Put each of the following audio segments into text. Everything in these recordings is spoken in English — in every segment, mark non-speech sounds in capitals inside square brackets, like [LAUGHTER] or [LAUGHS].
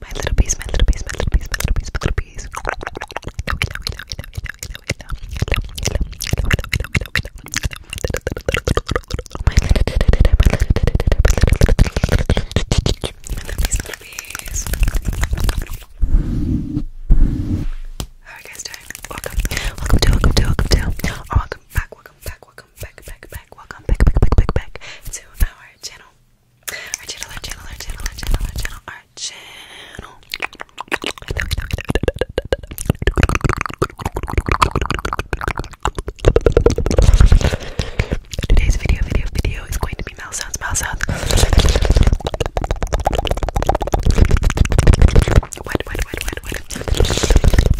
My little piece, my little piece, my little piece, my little piece, my little piece. How are you guys doing? Welcome, welcome to, welcome to, welcome to, or oh, welcome back, welcome back, welcome back, back, back, welcome back, back, back, back, back to our channel. Our channel, our channel, our channel, our channel, our channel, Today's video, video, video is going to be mouth sounds,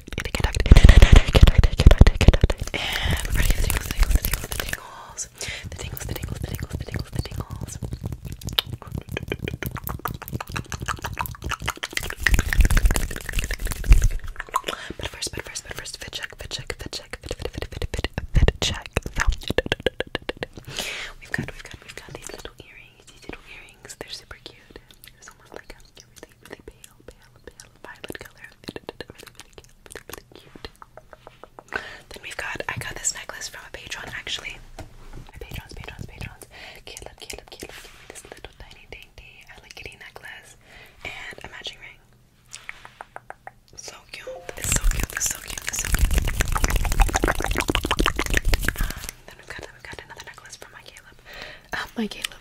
And we the tingles, the tingles, the tingles, the tingles. The tingles, the tingles, the tingles, the tingles, the tingles. But first, but first, but first, fit check, fit check, fit check, fit, fit, fit, fit, fit, check. We've got, we've got, we've got these little earrings, these little earrings. They're super cute. It's almost like a really, Then we've got, I got this necklace from a patron actually. My patrons, patrons, patrons. Cute, look, cute, this little tiny dainty Hello Kitty necklace and a matching ring. So cute. so cute. so cute. so cute. Um, then we've got, we got another necklace from my Caleb. Uh, my Caleb.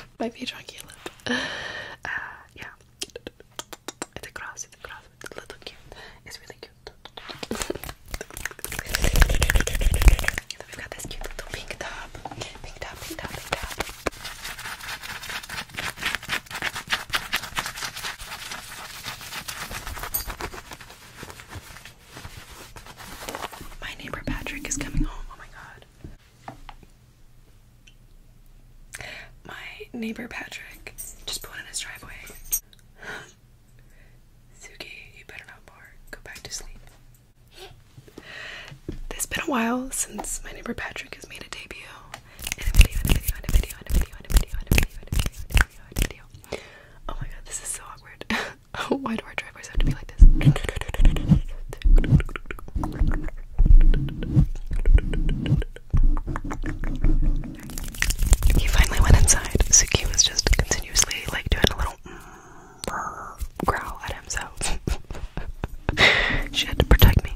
[LAUGHS] might be a chunky lip. [SIGHS] Uh, yeah. It's a cross, it's a cross. It's a little cute. It's really cute. [LAUGHS] we got this cute little pink top. Pink top, pink top, pink top. My neighbor Patrick is coming home. Oh my god. My neighbor Patrick just put in his driveway. [GASPS] Suki, you better not bark. Go back to sleep. It's been a while since my neighbor Patrick has made a debut Oh my god, this is so awkward. [LAUGHS] [LAUGHS] Why do our driveways have to be like this? He finally went inside. Suki was just continuously like doing a little growl at himself. [LAUGHS] she had to protect me,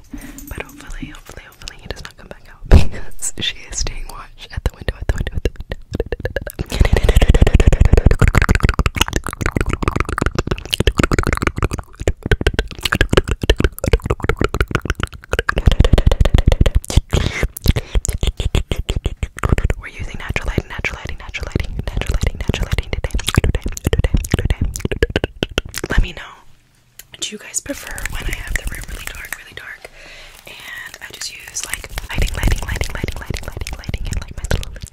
but hopefully, hopefully, hopefully, he does not come back out [LAUGHS] she is staying watch at the window, at the window, at the window. We're using natural lighting, natural lighting, natural lighting, natural lighting, natural lighting today. Today, today, today. Let me know. Do you guys prefer when I have the room really dark, really dark? And I just use like lighting, lighting, lighting, lighting, lighting, lighting, lighting, and like my little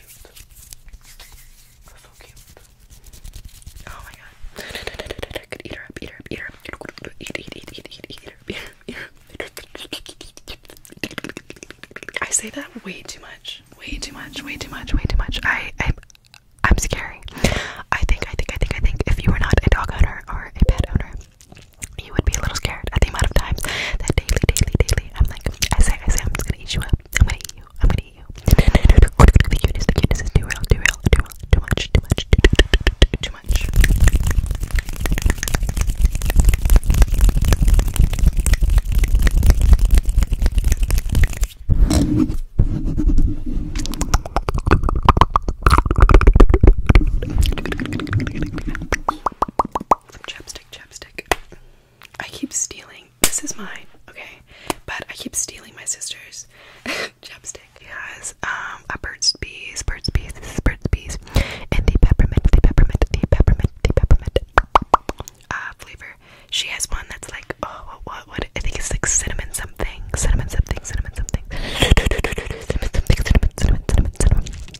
Oh [LAUGHS] I say that way too much. Way too much, way too much, way too much. I, I, I'm scary. I think, I think, I think, I think if you are not a dog owner or a pet owner, you would be a little scared at the amount of times that daily, daily, daily, I'm like, I say, I say, I'm just gonna eat you up. I'm gonna eat you. I'm gonna eat you. The cuteness, the cuteness is too real, too real, too real, too much, too much, too, too, too, too, too, too much from Chapstick Chapstick. I keep stealing. This is mine, okay? But I keep stealing my sister's [LAUGHS] chapstick. She has um a Burt's Bees, Burt's Bees, this is Burt's Bees, and the peppermint, the peppermint, the peppermint, the peppermint uh flavor. She has one that's like oh what what what I think it's like cinnamon something, cinnamon something, cinnamon something. [LAUGHS] cinnamon something, cinnamon, cinnamon, cinnamon, cinnamon, cinnamon.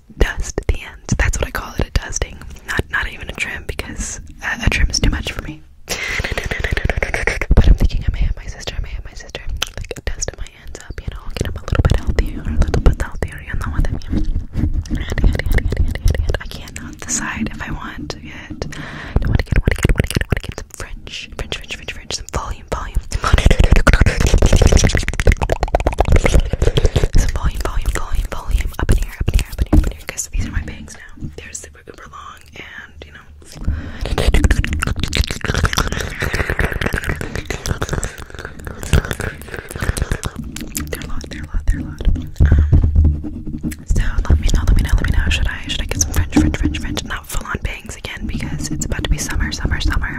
just dust the ends. That's what I call it, a dusting. Not not even a trim because a trim is too much for me. But I'm thinking I may have my sister, I may have my sister like dust my ends up, you know, get them a little bit healthier, a little bit healthier, you know what I mean? I cannot decide if I want to I want to get, want to get, want to get, want to get some French, French, French, French, French, some volume, volume volume, volume, volume, volume, up in here, up in here, up in here, up in here, because these are my bangs now. They're super, super long, and you know. They're a they're a they're a Um, so let me know, let me know, let me know. Should I, should I get some French, French, French, French? Not full on bangs again because it's about to be summer, summer, summer,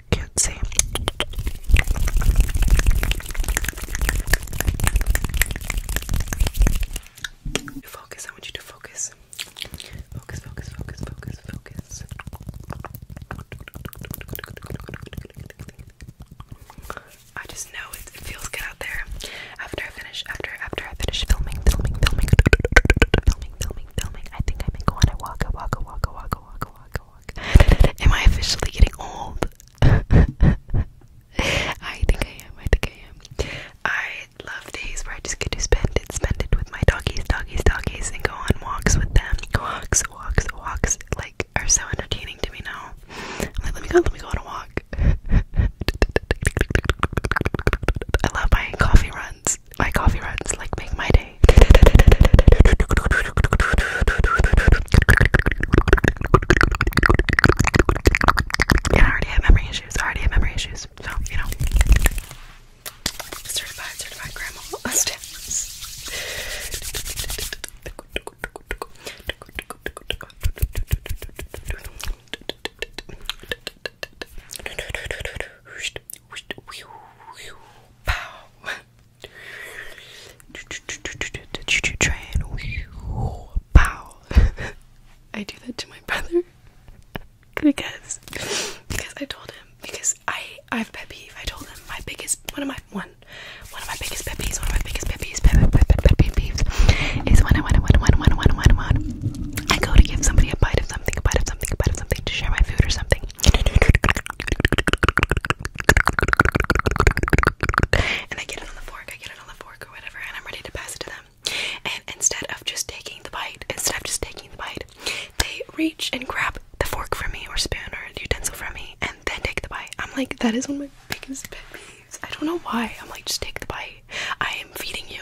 cutesy. Focus, I want you to focus. Focus, focus, focus, focus, I just know it, feels good out there. After I finish, after after I finish filming, filming, filming, filming, filming, filming, filming. I think I may go on a walk, a walk, walk, walk, walk, walk, walk. am I officially getting old? [LAUGHS] I think I am. I think I am. I love days where I just get to spend it, spend it with my doggies, doggies, doggies, and go on walks with them. Walks, walks, walks. Like are so entertaining to me now. like, let me go, let me go on a walk. [LAUGHS] I love my coffee runs. My coffee runs, like make my day. I already have memory issues. I already have memory issues. So, you know. Certified, certified grandma Train, pow. [LAUGHS] I do that to my brother because because I told him because I I have pet peeve. I told him my biggest one of my one one of my biggest pet peeves. One of my biggest pet peeves. Pet, pet, pet, pet, pet peeves is when I when I when I when I when I when I go to give somebody a bite of something, a bite of something, a bite of something to share my food or something and I get it on the fork, I get it on the fork or whatever, and I'm ready to pass it to them. And instead of just taking the bite, instead of just taking the bite, they reach and grab the fork from me or spoon or utensil from me and then take the bite. I'm like, that is one of my biggest pet peeves. I don't know why. I'm like, just take the bite. I am feeding you.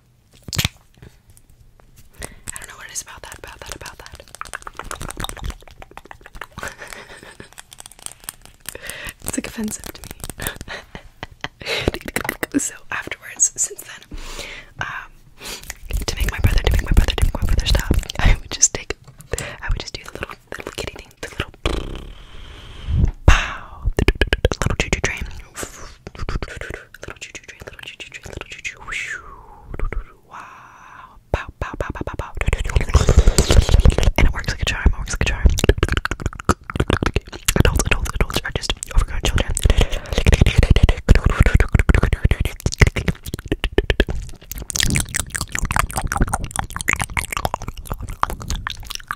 I don't know what it is about that, about that, about that. [LAUGHS] it's like offensive to me. [LAUGHS] so afterwards, since then, um, to make my brother, to make my brother, to make my brother stop, [LAUGHS] I would just take, I would just do the little, the little kitty thing, the little pow, the little choo train. Little choo choo train, little choo choo train, little choo choo. Wow. Pow, pow, pow, pow, pow, pow. And it works like a charm, it works like a charm. Adults, adults, adults are just overgrown children.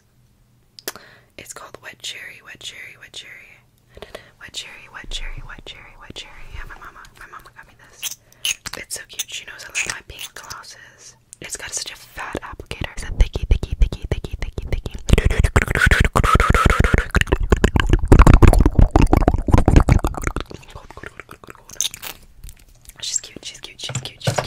is. It's called Wet Cherry, Wet Cherry, Wet Cherry. Wet Cherry, Wet Cherry, Wet Cherry, Wet Cherry. Yeah, my mama, my mama got me this. It's so cute. She knows I love my pink glosses. It's got such a fat applicator. It's a thicky, thicky, thicky, thicky, thicky, thicky. She's cute. she's cute, she's cute, she's cute.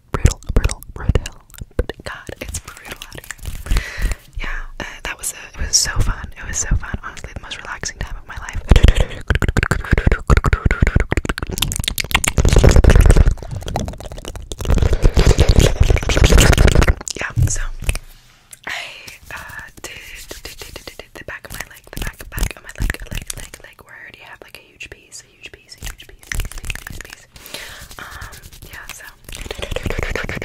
brutal, brutal, brutal. God, it's brutal Yeah, uh, that was it. Uh, it was so fun. It was so fun. Honestly, the most relaxing time of my life. Yeah, so I uh, did the back of my leg, the back, back of my leg, leg, leg, leg, where I already have like a huge piece huge piece, huge piece, piece, piece, Um, yeah, so. My little leg,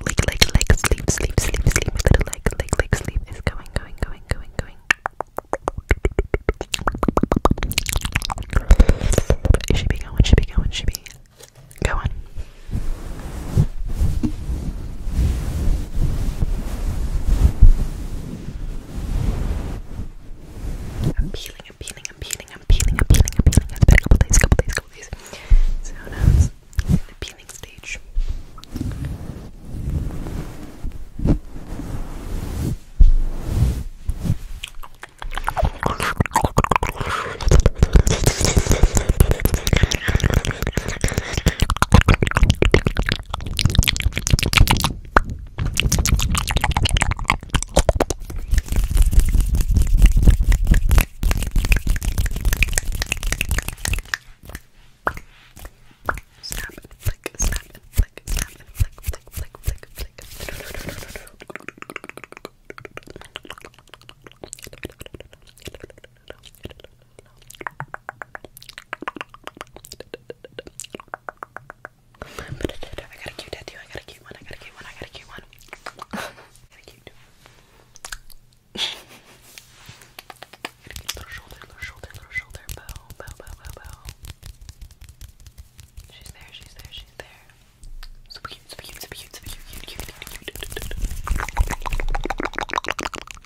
leg, leg, leg, sleep, sleep, sleep, sleep. My little leg, leg, leg, sleep is going, going, going, going, going. It should be going, should be going, should be going. I'm peeling, I'm peeling, I'm peeling, I'm peeling, I'm peeling, I'm peeling. It's been a couple days, a couple days, a couple days. So now it's in the peeling stage. Snap and flick, snap and flick, snap and flick, flick, flick, flick, flick. I got a cute tattoo. I got a cute one. I got a cute one. I got a cute one. I got a cute. got a cute little shoulder, little shoulder, little shoulder. Bow, bow, bow, bow, bow. She's there. She's there. She's there. Super cute. Super cute. Super cute. Super cute. Cute. Cute. Cute. cute. Could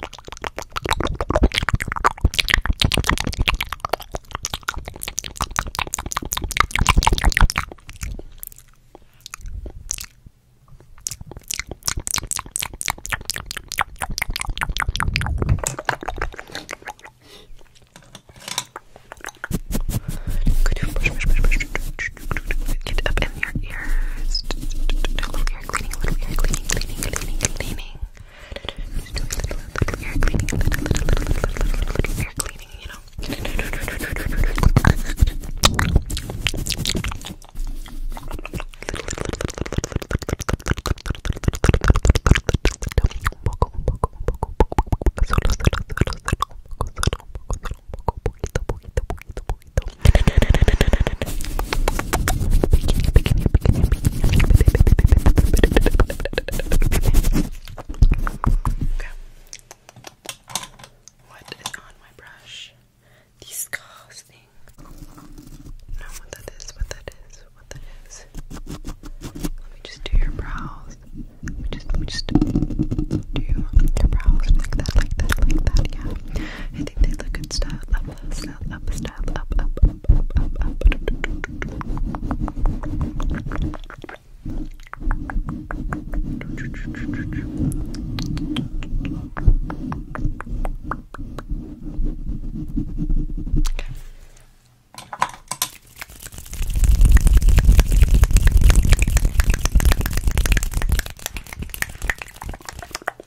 you push, push, push, push, get up in your ears? A little ear cleaning, a little ear cleaning, cleaning, cleaning, cleaning. You're cleaning a little, little, little, little, little, little, little, little cleaning, you know. Solo, solo, solo, solo, solo, solo, solo, poquito, poquito, poquito, poquito, What is on my brush? These scars thing. No, what that is, what that is, what that is. Let me just do your brows. Let me just, let me just do your brows like that, like that, like that. Yeah, I think they look good stuff. Love south, up, south, up, up, up, up, up, up. Okay.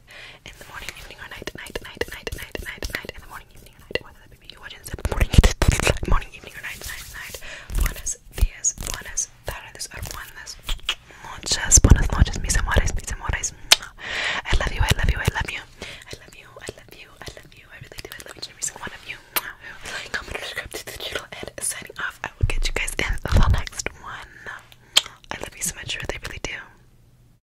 night, in the morning, evening, or night, night, night, night, night, night, night, in the morning, evening, or night, whether that be you watching this in the morning, [LAUGHS] morning, evening, or night, night, night. Buenos días, buenas tardes, or buenas noches, buenas noches, mis amores, mis amores. I love you, I love you, I love you, I love you, I love you, I love you, I really do. I love each and every single one of you. Comment, subscribe to the channel, and signing off. I will get you guys in the next one. I love you so much, I really, really do.